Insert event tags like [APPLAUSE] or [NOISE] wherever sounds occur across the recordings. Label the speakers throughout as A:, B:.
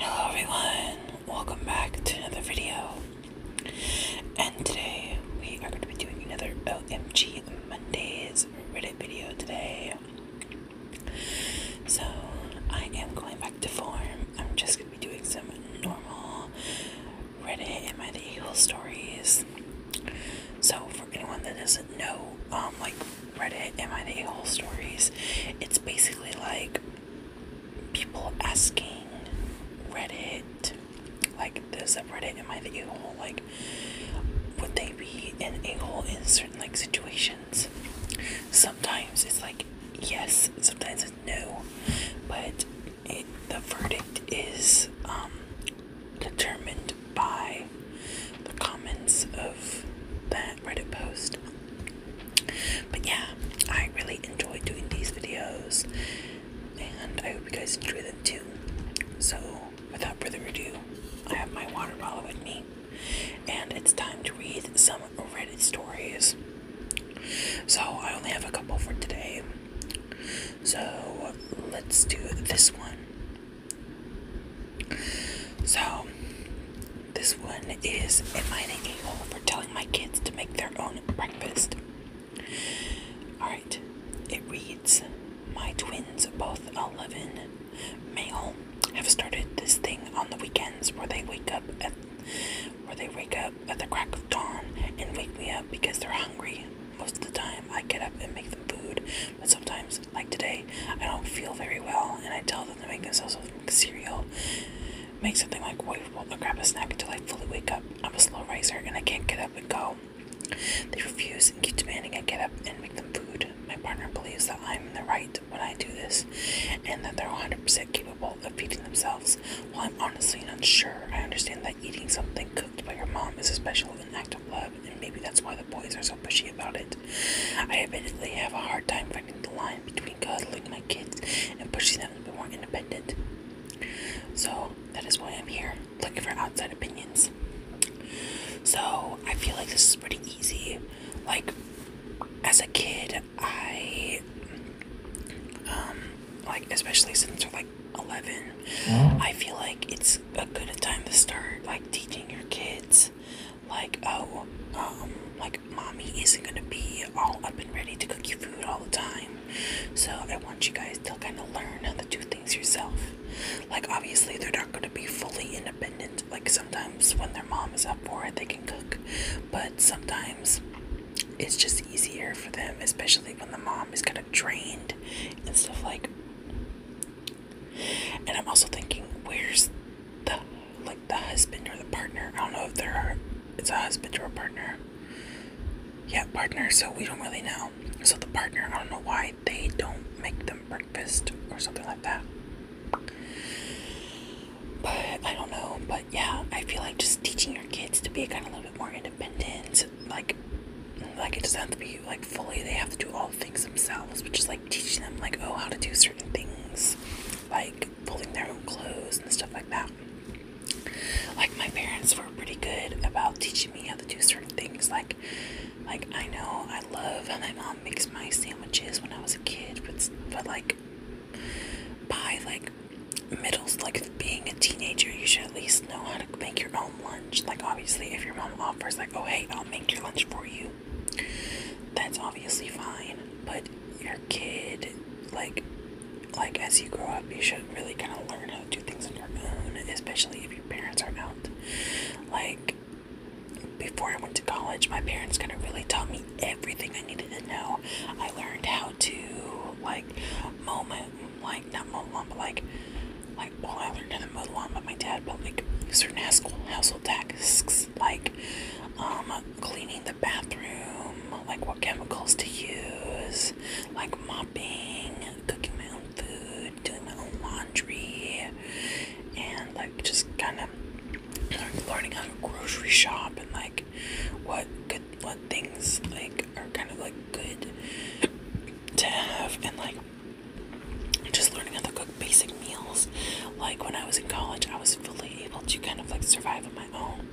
A: Hello everyone, welcome back to another video. And today we are going to be doing another OMG Mondays Reddit video today. So I am going back to form. I'm just gonna be doing some normal Reddit and my Eagle stories. So for anyone that doesn't know, um, like Reddit and my Eagle stories, it's basically like people asking Reddit, like there's a Reddit and my Eagle, like would they be an a hole in certain like situation. Sometimes it's like yes, sometimes it's no, but the verdict is um, determined by the comments of that Reddit post. But yeah, I really enjoy doing these videos, and I hope you guys enjoy them too. So, without further ado, I have my water bottle with me. And it's time to read some Reddit stories. So I only have a couple for today. So let's do this one. So this one is Am I an a hole for telling my kids to make their own breakfast? Alright, it reads My twins, both 11, male have started this thing on the weekends where they wake up at where they wake up at the crack of dawn and wake me up because they're hungry. Most of the time I get up and make them food, but sometimes, like today, I don't feel very well and I tell them to make themselves like cereal. Make something like waffle or grab a snack until I fully wake up. I'm a slow riser and I can't get up and go. They refuse and keep demanding I get up and make them food. My partner believes that I'm in the right when I do this, and that they're 100% capable of feeding themselves. While I'm honestly unsure, I understand that eating something cooked by your mom is a special and act of love, and maybe that's why the boys are so pushy about it. I admittedly have a hard time finding the line between cuddling my kids and pushing them to be more independent. So that is why I'm here, looking for outside opinions. So I feel like this is pretty easy, like as a kid I um like especially since we're like 11 mm-hmm. I feel like it's a good time to start like teaching your kids like oh um like mommy isn't gonna be all up and ready to cook you food all the time so I want you guys to kind of learn how to do things yourself like obviously they're not gonna be fully independent like sometimes when their mom is up for it, they can cook, but sometimes it's just easier for them, especially when the mom is kind of drained and stuff like. And I'm also thinking, where's the like the husband or the partner? I don't know if there are. It's a husband or a partner. Yeah, partner. So we don't really know. So the partner, I don't know why they don't make them breakfast or something like that. But I don't know. But yeah, I feel like just teaching your kids to be kind of a little bit more independent. Like, like it doesn't have to be like fully. They have to do all things themselves, but just like teaching them like oh how to do certain things, like folding their own clothes and stuff like that. Like my parents were pretty good about teaching me how to do certain things. Like, like I know I love how my mom mom makes my sandwiches when I was a kid, but, but like by like middles, like being a teenager, you should at least know how to make your own lunch. Like obviously, if your mom offers like, oh hey, I'll make your lunch for you, that's obviously fine. But your kid, like, like as you grow up, you should really kind of learn how to do things on your own, especially if your parents are out. Like before I went to college, my parents kind of really taught me everything I needed to know. I learned how to like mow moment, like not mow lawn but like like well, I learned how to mow the lawn but my dad, but like certain household household tasks, like um, cleaning the bathroom, like what chemicals to use, like mopping, cooking my own food and doing my own laundry and like just kind of learning how to grocery shop and like what good what things like are kind of like good to have and like just learning how to cook basic meals like when I was in college I was fully able to kind of like survive on my own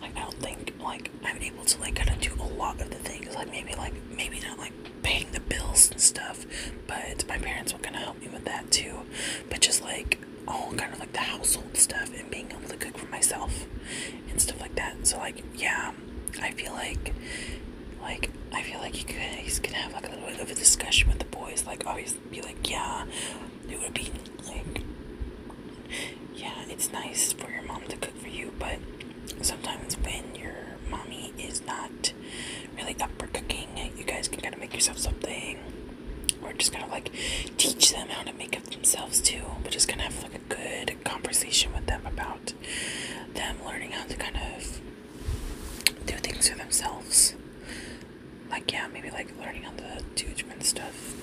A: like I don't think like I'm able to like kind of do a lot of the things like maybe like maybe not paying the bills and stuff, but my parents will kind of help me with that too. But just like all kind of like the household stuff and being able to cook for myself and stuff like that. So like yeah, I feel like like I feel like you could he's gonna have like a little bit of a discussion with the boys, like obviously be like, Yeah, it would be like yeah, it's nice for your mom to cook for you, but sometimes when your mommy is not really up for cooking, you guys can kind of make yourself something, or just kind of like teach them how to make it themselves too. But just kind of have like a good conversation with them about them learning how to kind of do things for themselves. Like yeah, maybe like learning on the do different stuff.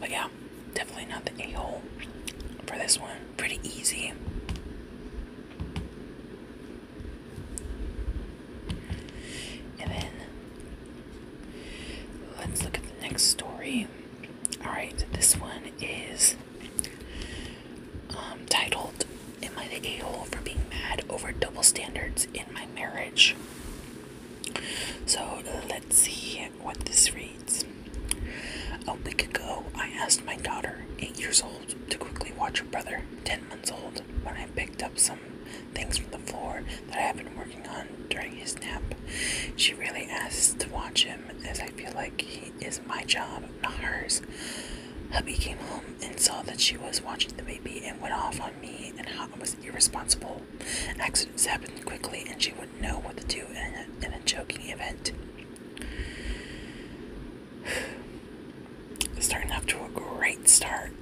A: But yeah, definitely not the a hole for this one. Pretty easy. And then let's look at the next story. Alright, this one is um, titled Am I the A hole for being mad over double standards in my marriage? So let's see what this reads. A week ago, I asked my daughter, eight years old, to quickly watch her brother, ten months old, when I picked up some things from the floor that I have been working on during his nap. She really asked to watch him, as I feel like he is my job, not hers. Hubby came home and saw that she was watching the baby and went off on me and how I was irresponsible. Accidents happened quickly and she wouldn't know what to do in a, choking event. Starting off to a great start.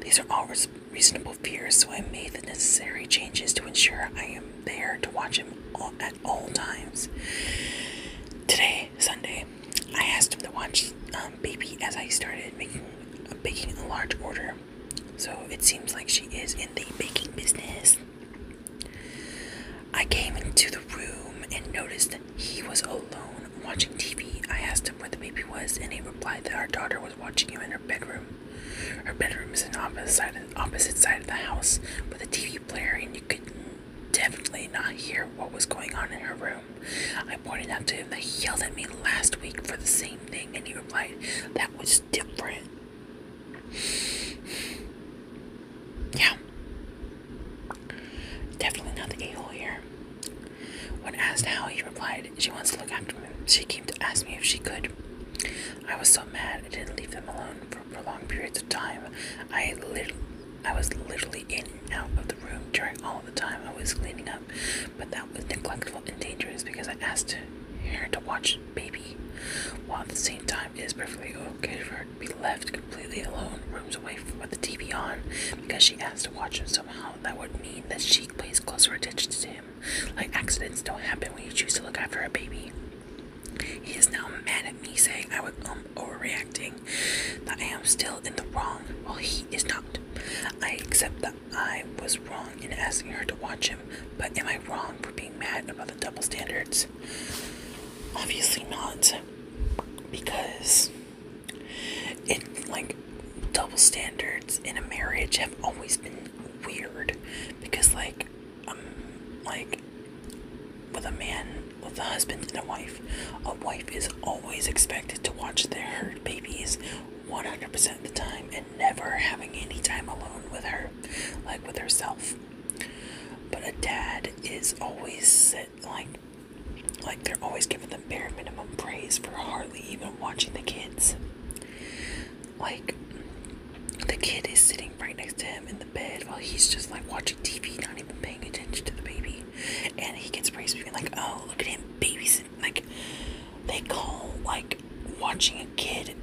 A: These are all reasonable fears, so I made the necessary changes to ensure I am there to watch him at all times. Today, Sunday, I asked him to watch um, Baby as I started making uh, baking a large order. So it seems like she is in the baking business. I came into the room and noticed that he was alone watching TV. I asked him where the baby was, and he replied that our daughter was watching him in her bedroom. Her bedroom is on the opposite side of the house with a TV player, and you could definitely not hear what was going on in her room. I pointed out to him that he yelled at me last week for the same thing, and he replied, That was different. [SIGHS] Yeah. Definitely not the a hole here. When asked how, he replied, She wants to look after me. She came to ask me if she could. I was so mad I didn't leave them alone for prolonged periods of time. I lit I was literally in and out of the room during all the time I was cleaning up, but that was neglectful and dangerous because I asked her to watch baby. While at the same time, it is perfectly okay for her to be left completely alone, rooms away from with the TV on, because she has to watch him somehow. That would mean that she pays closer attention to him. Like accidents don't happen when you choose to look after a baby. He is now mad at me, saying I was um, overreacting, that I am still in the wrong, while he is not. I accept that I was wrong in asking her to watch him, but am I wrong for being mad about the double standards? Obviously not. Because it like double standards in a marriage have always been weird because like um like with a man with a husband and a wife, a wife is always expected to watch their babies 100% of the time and never having any time alone with her, like with herself. But a dad is always set, like, like they're always giving the bare minimum praise for hardly even watching the kids. Like, the kid is sitting right next to him in the bed while he's just like watching TV, not even paying attention to the baby. And he gets praised for being like, oh, look at him babysitting. Like, they call, like, watching a kid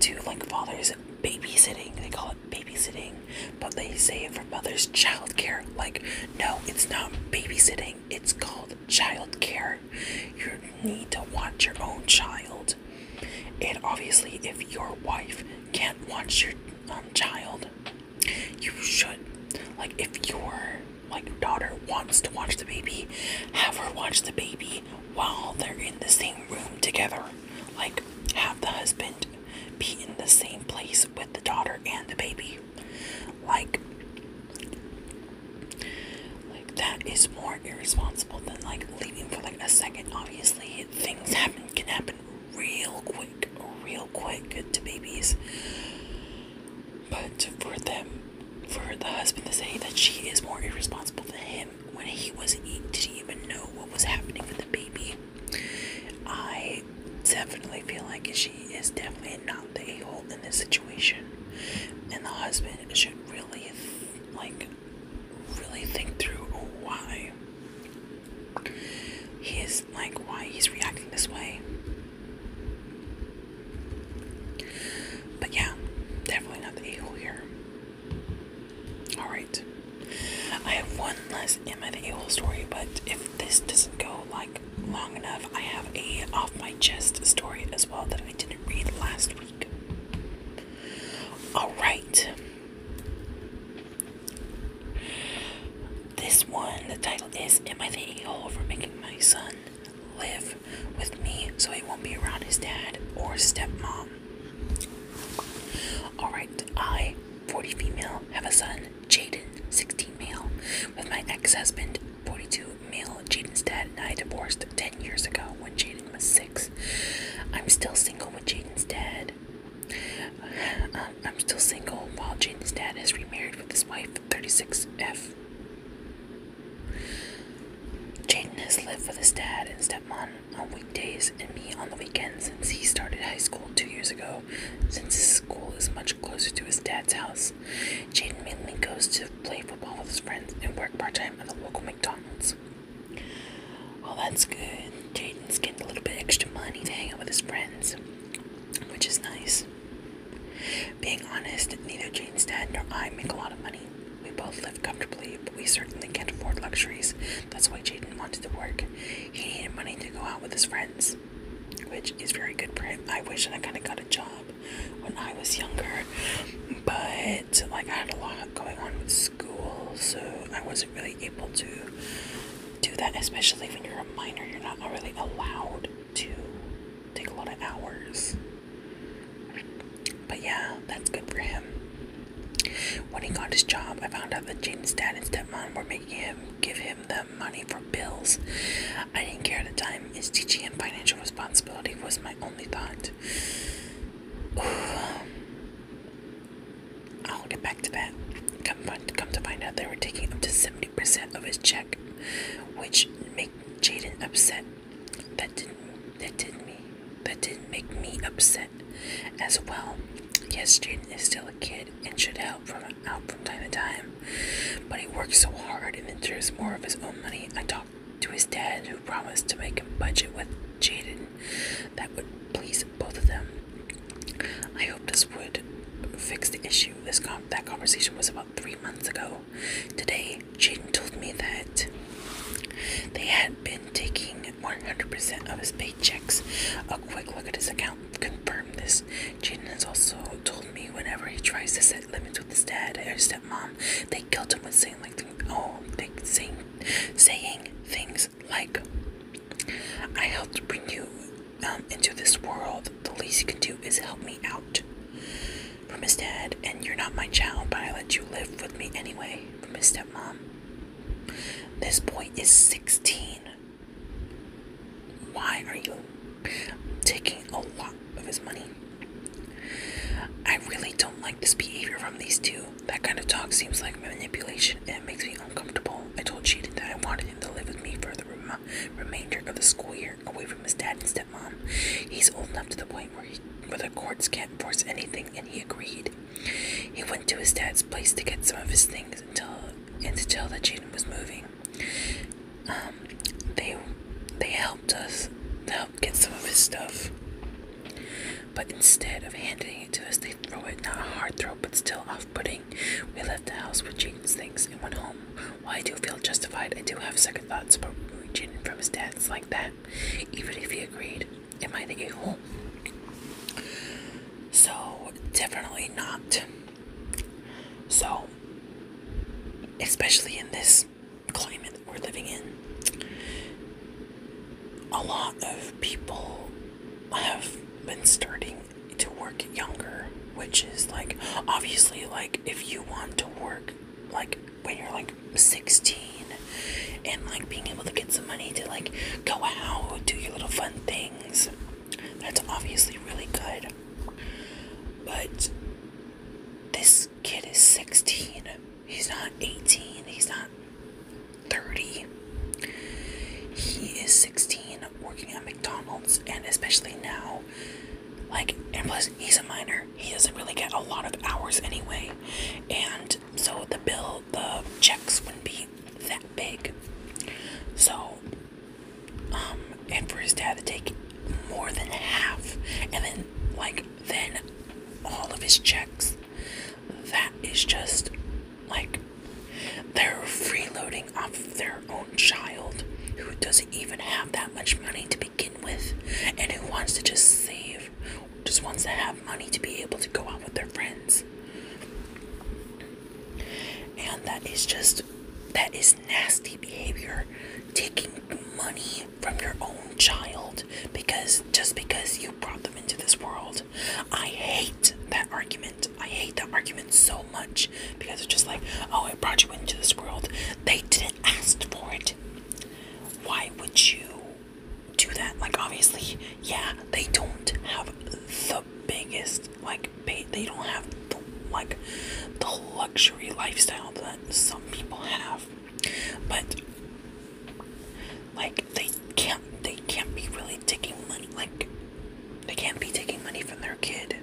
A: do like father's babysitting. They call it babysitting, but they say it for mother's childcare. Like, no, it's not babysitting, it's called childcare. You need to watch your own child. And obviously, if your wife can't watch your um, child, you should. Like, if your like daughter wants to watch the baby, have her watch the baby while they're in the same room together. Like, have the husband be in the same place with the daughter and the baby. Like, like that is more irresponsible than like leaving for like a second. Obviously, things happen can happen real quick, real quick to babies. But for them, for the husband to say that she is more irresponsible than him when he was eating, didn't even know what was happening with the baby. I definitely feel like she is definitely not the a-hole in this situation, and the husband should really like really think through why he is like why he's reacting this way. But yeah, definitely not the a-hole here. Alright. I have one less Emma the Able story, but if this doesn't go like long enough, I have a off my chest story as well that I didn't read last week. Alright. This one, the title is Am I the a for making my son live? with me so he won't be around his dad or stepmom. Alright, I, 40 female, have a son, Jaden, 16 male, with my ex husband, 42 male. Jaden's dad and I divorced 10 years ago when Jaden was 6. I'm still single with Jaden's dad. Um, I'm still single while Jaden's dad has remarried with his wife, 36F. Jaden has lived with his dad and stepmom on weekdays and me on the weekends since he started high school two years ago, since his school is much closer to his dad's house. Jaden mainly goes to play football with his friends and work part time at the local McDonald's. Well, that's good. Jaden's getting a little bit extra money to hang out with his friends, which is nice. Being honest, neither Jaden's dad nor I make a lot of money. We both live comfortably, but we certainly can't afford luxuries. That's why Jaden wanted to work. He needed money to go out with his friends, which is very good for him. I wish I kind of got a job when I was younger, but like I had a lot going on with school, so I wasn't really able to do that. Especially when you're a minor, you're not really allowed to take a lot of hours. But yeah, that's good for him. When he got his job, I found out that Jaden's dad and stepmom were making him give him the money for bills. I didn't care at the time, is teaching him financial responsibility was my only thought. [SIGHS] I'll get back to that. Come, come to find out they were taking up to 70% of his check, which made Jaden upset that didn't that didn't me that didn't make me upset as well. Yes, Jaden is still a kid and should help from out from time to time. But he works so hard and then more of his own money. I talked to his dad who promised to make a budget with Jaden that would please both of them. I hope this would fix the issue. This com that conversation was about three months ago. Today, Jaden told me that they had been taking 100% of his paychecks. A quick look at his account confirmed this. Jaden has also told me whenever he tries to set limits with his dad or stepmom, they guilt him with saying like, oh, they saying, saying things like, 'I helped bring you um, into this world. The least you can do is help me out." from his dad, and you're not my child, but I let you live with me anyway, from his stepmom. This boy is 16. Why are you taking a lot of his money? I really don't like this behavior from these two. That kind of talk seems like manipulation and it makes me uncomfortable. I told Jaden that I wanted him to live with me for the remainder of the school year away from his dad and stepmom. He's old enough to the point where, the courts can't force anything, and he agreed. He went to his dad's place to get some of his things and, and to tell that Jaden was moving. Um, they they helped us help get some of his stuff. But instead of handing it to us, they throw it, not a hard throw, but still off putting. We left the house with Jaden's things and went home. While I do feel justified, I do have second thoughts about reaching from his dad's like that, even if he agreed. Am I the a hole? So, definitely not. So, especially in this climate that we're living in, a lot of people have been starting to work younger, which is like obviously, like, if you want to work like when you're like 16 and like being able to get some money to like go out, do your little fun things. That's obviously really good. But this kid is 16. He's not 18. He's not 30. He is 16 working at McDonald's and especially now like, and plus, he's a minor. He doesn't really get a lot of hours anyway. And so the bill, the checks wouldn't be that big. So, um, and for his dad to take more than half, and then, like, then all of his checks, that is just like they're freeloading off their own child who doesn't even have that much money to begin with and who wants to just save, just wants to have money to be able to go out with their friends. And that is just, that is nasty behavior. Taking money from your own child because just because you brought them into this world. I hate that argument. I hate that argument so much because it's just like, oh, it brought you into this world. They didn't ask for it. Why would you do that? Like, obviously, yeah, they don't have the biggest, like, pay, they don't have the, like the luxury lifestyle that some people have, but like they can't, they can't be really taking money, like they can't be taking money from their kid.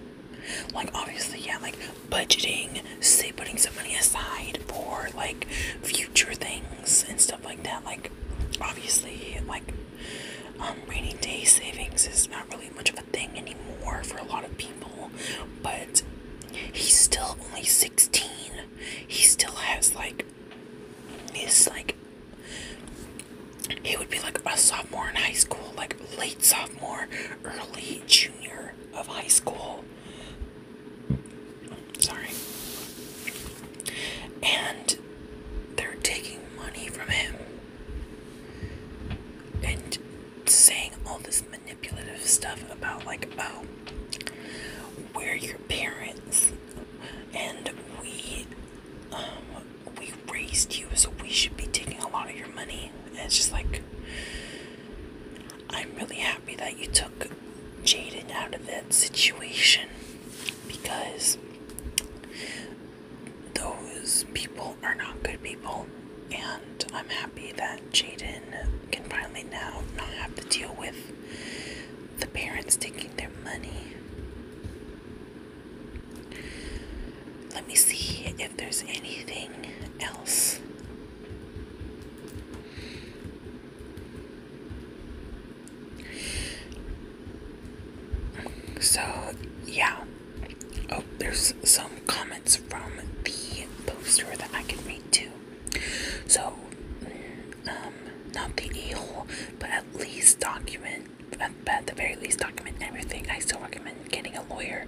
A: Like, obviously, yeah, like budgeting, saving putting some money aside for like future things and stuff like that. Like, obviously, like, um, rainy day savings is not really much of a thing anymore for a lot of people, but he's still only 16. He still has like his like he would be like a sophomore in high school, like late sophomore sophomore, early junior of high school. Sorry. And they're taking money from him and saying all this manipulative stuff about, like, oh, we're your parents and we um, we raised you, so we should be taking a lot of your money. And it's just like, I'm really happy that you took Jaden out of that situation because those people are not good people. And I'm happy that Jaden can finally now not have to deal with the parents taking their money. Let me see if there's anything else. So, yeah. Oh, there's some comments from the poster that I can read too. So, mm, um, not the e-hole, but at least document at, the very least document everything. I still recommend getting a lawyer.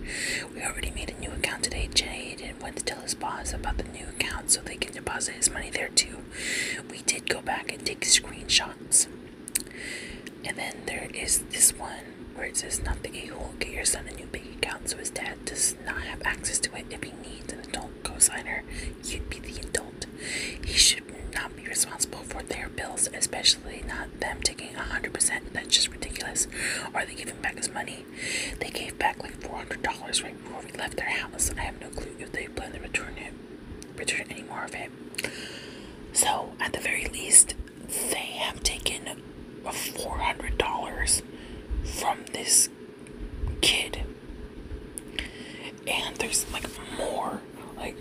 A: We already made a new account today. Jaden went to tell his boss about the new account so they can deposit his money there too. We did go back and take screenshots. And then there is this one where it says not the a-hole. Get your son a new bank account so his dad does not have access to it. If he needs an adult co-signer, you'd be the adult. He should not be responsible for their bills, especially not them taking 100%. That's just ridiculous. Are they giving back his money? They gave back like $400 right before we left their house. I have no clue if they plan to return it, return any more of it. So, at the very least, they have taken $400 from this kid. And there's like more like,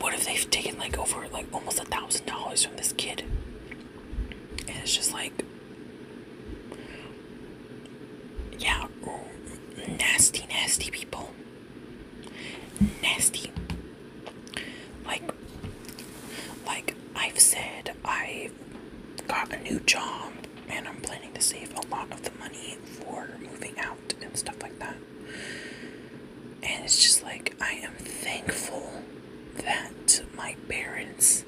A: what if they've taken like over like almost a thousand dollars from this kid? And it's just like, yeah, nasty, nasty people. Nasty. Like, like I've said, I've got a new job and I'm planning to save a lot of the money for moving out and stuff like that. And it's just like, I am thankful that my parents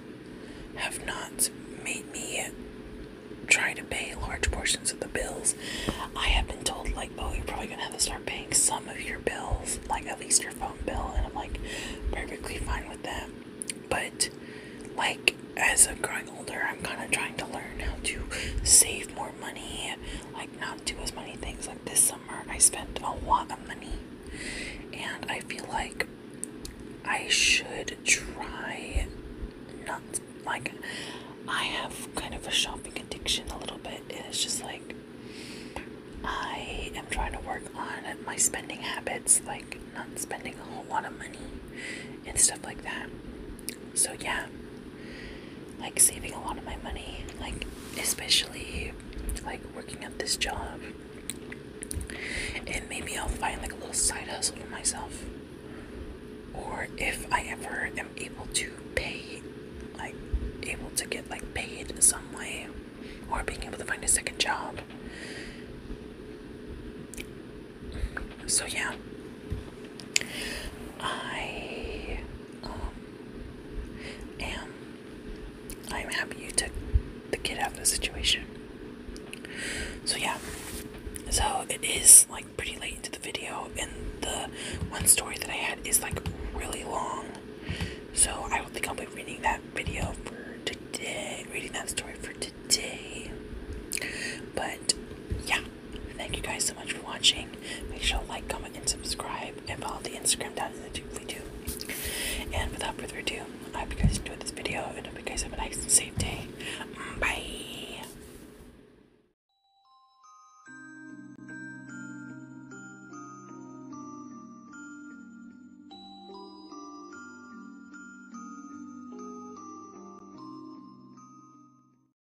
A: have not made me try to pay large portions of the bills. I have been told, like, oh, you're probably gonna have to start paying some of your bills, like at least your phone bill. And I'm like, perfectly fine with that. But, like, as I'm growing older, I'm kind of trying to learn how to save more money, like, not do as many things this summer I spent a lot of money and I feel like I should try not like I have kind of a shopping addiction a little bit. It's just like I am trying to work on my spending habits, like not spending a whole lot of money and stuff like that. So yeah, like saving a lot of my money, like especially like working at this job. And maybe I'll find like a little side hustle for myself. Or if I ever am able to pay, like able to get like paid some way, or being able to find a second job. So yeah, I um, am I'm happy you took the kid out of the situation. So yeah. So it is like pretty late into the video and the one story that I had is like really long. So I don't think I'll be reading that video for today reading that story for today. But yeah. Thank you guys so much for watching. Make sure to like, comment, and subscribe, and follow the Instagram down in the doobly doo. And without further ado, I hope you guys enjoyed this video, and hope you guys have a nice and safe day. Mm, bye.